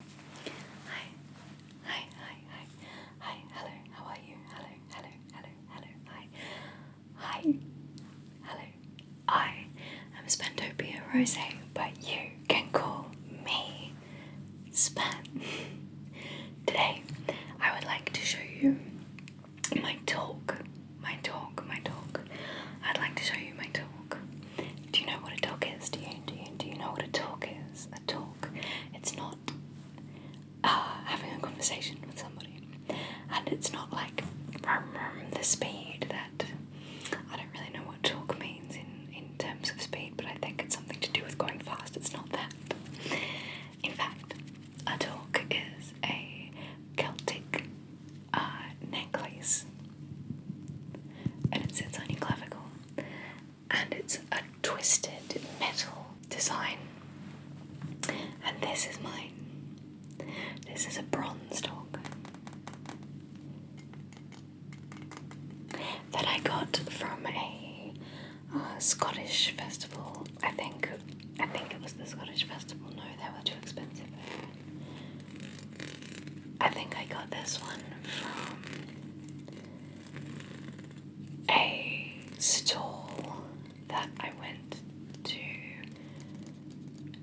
Hi, hi, hi, hi, hi, hello, how are you? Hello, hello, hello, hello, hi, hi, hello, I am Spentopia Rose, but you can call me Span. Today, I would like to show you my dog, my dog, my dog. I'd like to show you my dog. Do you know what a dog is? Do you do you do you know what a dog is? A talk. It's not uh, having a conversation with somebody, and it's not like the speed that I don't really know what talk means in in terms of speed, but I think it's something to do with going fast. It's not that. In fact, a dog is a Celtic uh, necklace and it sits on and it's a twisted metal design. And this is mine. This is a bronze dog that I got from a uh, Scottish festival I think I think it was the Scottish Festival. No, they were too expensive. I think I got this one from a stall that I went to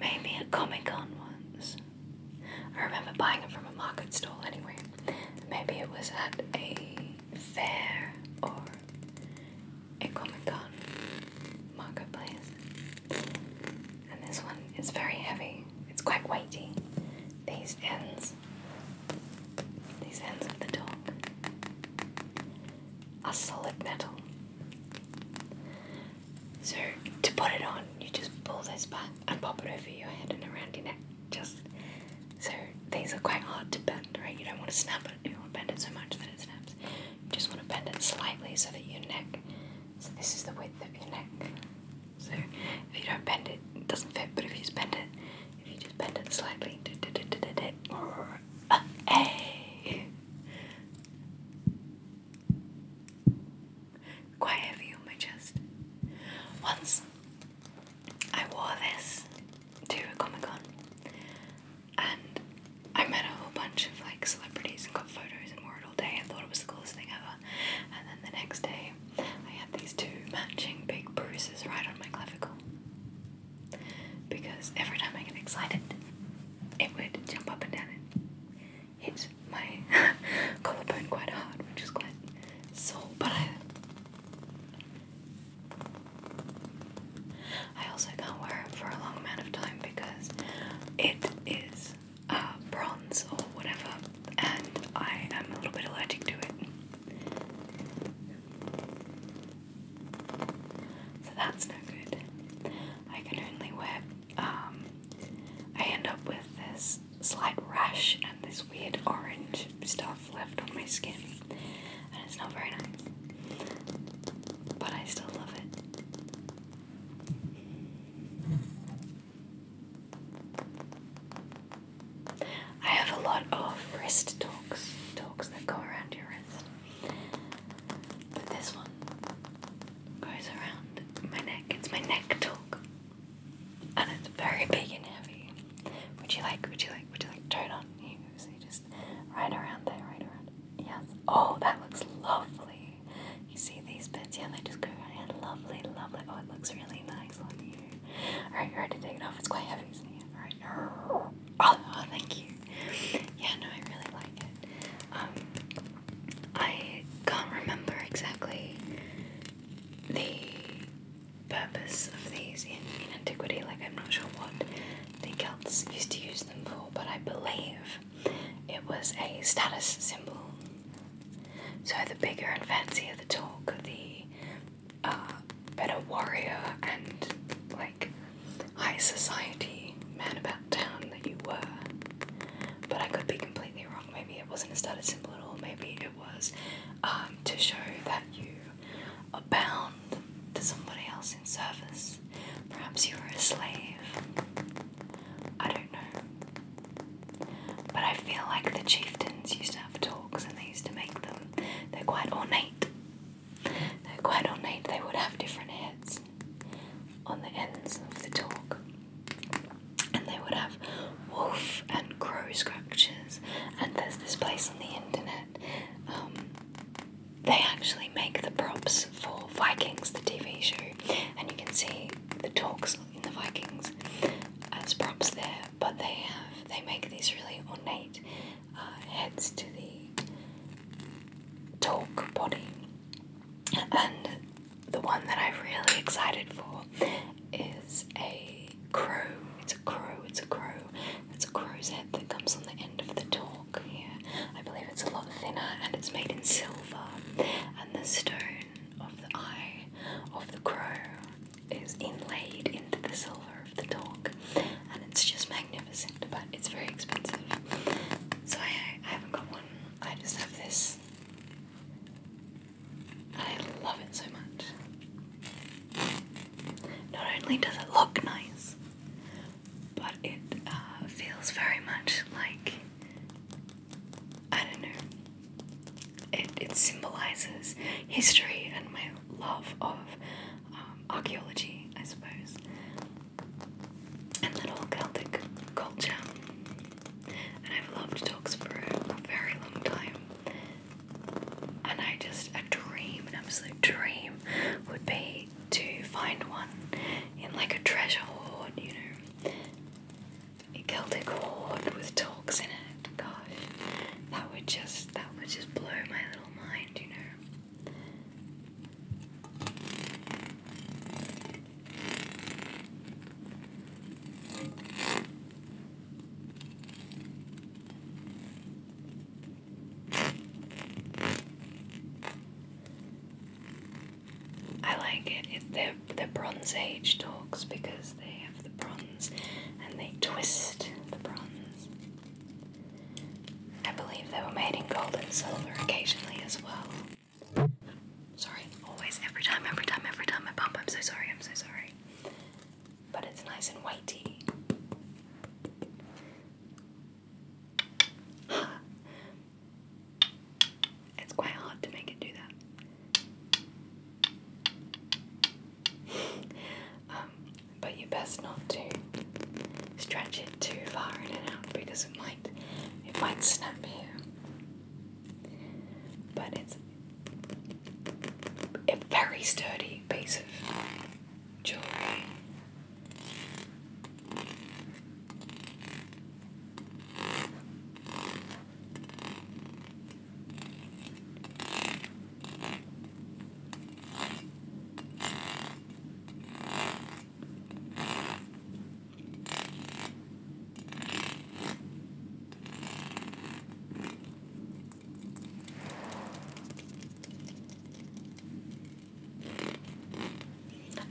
maybe a Comic Con once. I remember buying it from a market stall anyway. Maybe it was at a fair or a Comic Con Marketplace. And this one is very heavy, it's quite weighty. These ends, these ends of the dog, are solid metal. So, to put it on, you just pull this back and pop it over your head and around your neck. Just so these are quite hard to bend, right? You don't want to snap it, you don't want to bend it so much that it snaps. You just want to bend it slightly so that your neck, so this is the width of your neck. So if you don't bend it, it doesn't fit, but if you just bend it, if you just bend it slightly, quite heavy on my chest. Once I wore this to a Comic Con and I met a whole bunch of like celebrities and got photos and wore it all day. I thought it was the coolest thing ever. And then the next day, I had these two matching big bruises right on my clavicle because every time I get excited, it would jump up and down and hit my collarbone quite hard, which is quite sore. But I I also can't wear it for a long amount of time because it is uh, bronze or whatever, and I am a little bit allergic to it. So that's no good. I can only wear, um, I end up with this slight rash and this weird orange stuff left on my skin, and it's not very nice, but I still love it. I have a lot of wrist talks, talks that go around your wrist, but this one goes around my neck. It's my neck talk, and it's very big and heavy. Would you like? Would you like? Would you like? Turn on you. So you just right around there, right around. Yes. Oh, that looks lovely. You see these bits? Yeah, they just go around in. Lovely, lovely. Oh, it looks really nice on you. Alright, you're ready to take it off. It's quite heavy, isn't it? Alright. Oh, oh, thank you. Yeah, no, I really like it. Um, I can't remember exactly the purpose of these in, antiquity. Like, I'm not sure what the Celts used to use them for, but I believe it was a status symbol. So, the bigger and fancier the talk, the uh, better warrior and like high society man about town that you were. But I could be completely wrong. Maybe it wasn't a status symbol at all. Maybe it was um, to show that you bound to somebody else in service. Perhaps you were a slave. I don't know. But I feel like the chieftains used to have talks and they used to make them. They're quite ornate. They're quite ornate. They would have different heads on the ends of the talk. And they would have wolf and crow scratches. And there's this place on the internet um, they actually make the props for Vikings, the TV show, and you can see the dogs in the Vikings as props there. But they have they make these really ornate uh, heads to the dog body, and the one that I'm really excited for is a crow. It's a crow. It's a crow. It's a crow's head that comes on the end of the torque Yeah, I believe it's a lot thinner and it's made in silver. And the stone of the eye of the crow is inlaid into the silver of the dog, And it's just magnificent, but it's very expensive. So I haven't got one. I just have this. I love it so much. Not only does it look nice, but it uh, feels very much like I don't know. It it symbolizes history and my love of um, archaeology, I suppose, and little Celtic culture. And I've loved dogs for a very long time, and I just a dream, an absolute dream, would be to find one in like a treasure hoard, you know, a Celtic hoard with talks in it. Gosh, that would just that would just blow my little mind, you know. I like it. it they Bronze Age dogs because they have the bronze and they twist the bronze. I believe they were made in gold and silver occasionally as well. Sorry, always, every time, every time, every time I bump. I'm so sorry, I'm so sorry but it's nice and whitey. it's quite hard to make it do that. Um, but you best not to stretch it too far in and out because it might it might snap here. But it's a very sturdy piece of jewellery.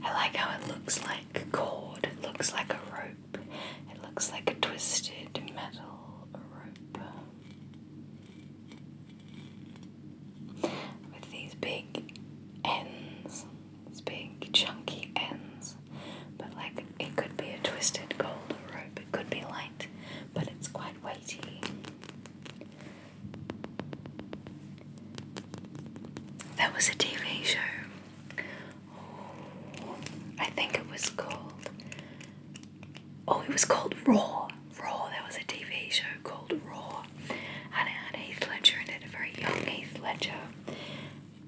I like how it looks like a cord, it looks like a rope, it looks like a twisted metal rope with these big ends, these big chunky ends, but like it could be a twisted golden rope, it could be light, but it's quite weighty. That was a TV show. Oh, I think it was called. Oh, it was called Raw. Raw. There was a TV show called Raw, and it had Heath Ledger in it, a very young Heath Ledger.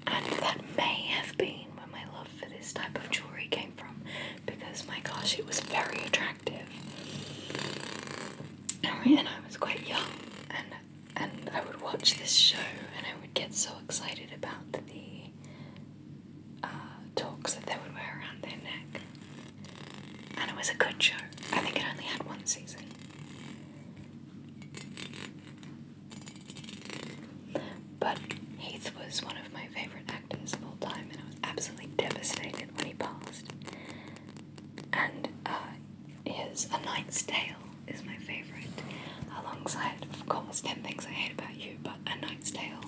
And that may have been when my for this type of jewelry came from because my gosh, it was very attractive. And I was quite young, and and I would watch this show, and I would get so excited about the uh, talks that they would wear around their neck. And it was a good show. I think it only had one season. But Heath was one of my favorite actors of all time, and I was absolutely devastated when he passed. And uh, A Knight's Tale is my favourite, alongside, of course, 10 Things I Hate About You, but A Knight's Tale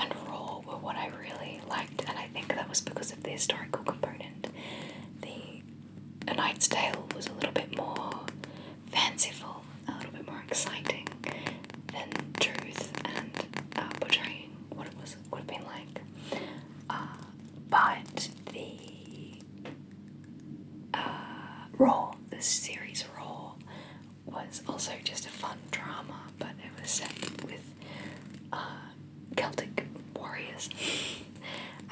and Raw were what I really liked, and I think that was because of the historical component. The A Knight's Tale was a little bit more fanciful, a little bit more exciting than truth and uh, portraying what it was would have been like. Uh, but the uh, Raw, the series role, was also just a fun drama, but it was set with uh, Celtic warriors.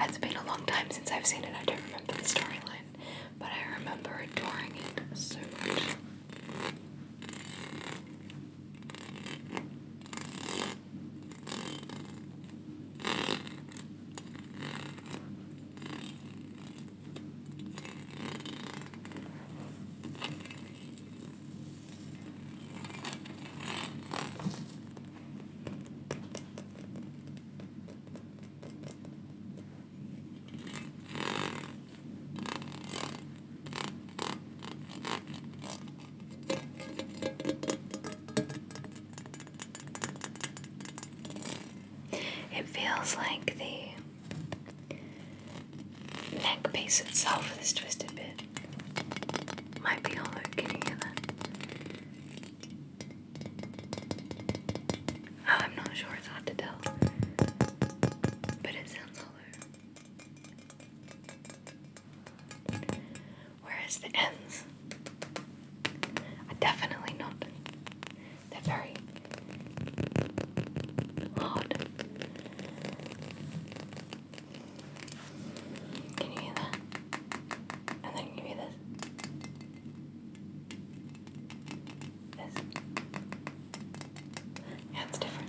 it's been a long time since I've seen it. I don't remember the storyline but I remember adoring it so much. It feels like the neckpiece itself with this twisted bit, might be hollow. Can you Oh, I'm not sure. It's hard to tell. But it sounds hollow. Whereas the ends are definitely not. They're very hard. Can you hear that? And then you hear this? This. Yeah, it's different.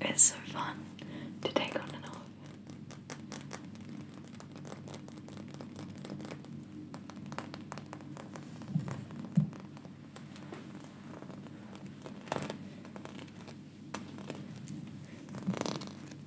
It's so fun to take on and off.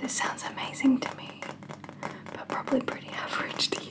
This sounds amazing to me, but probably pretty average to you.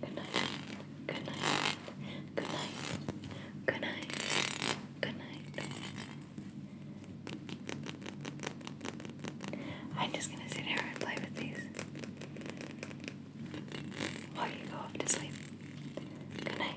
Good night. Good night. Good night. Good night. Good night. I'm just gonna sit here and play with these while you go to sleep. Good night.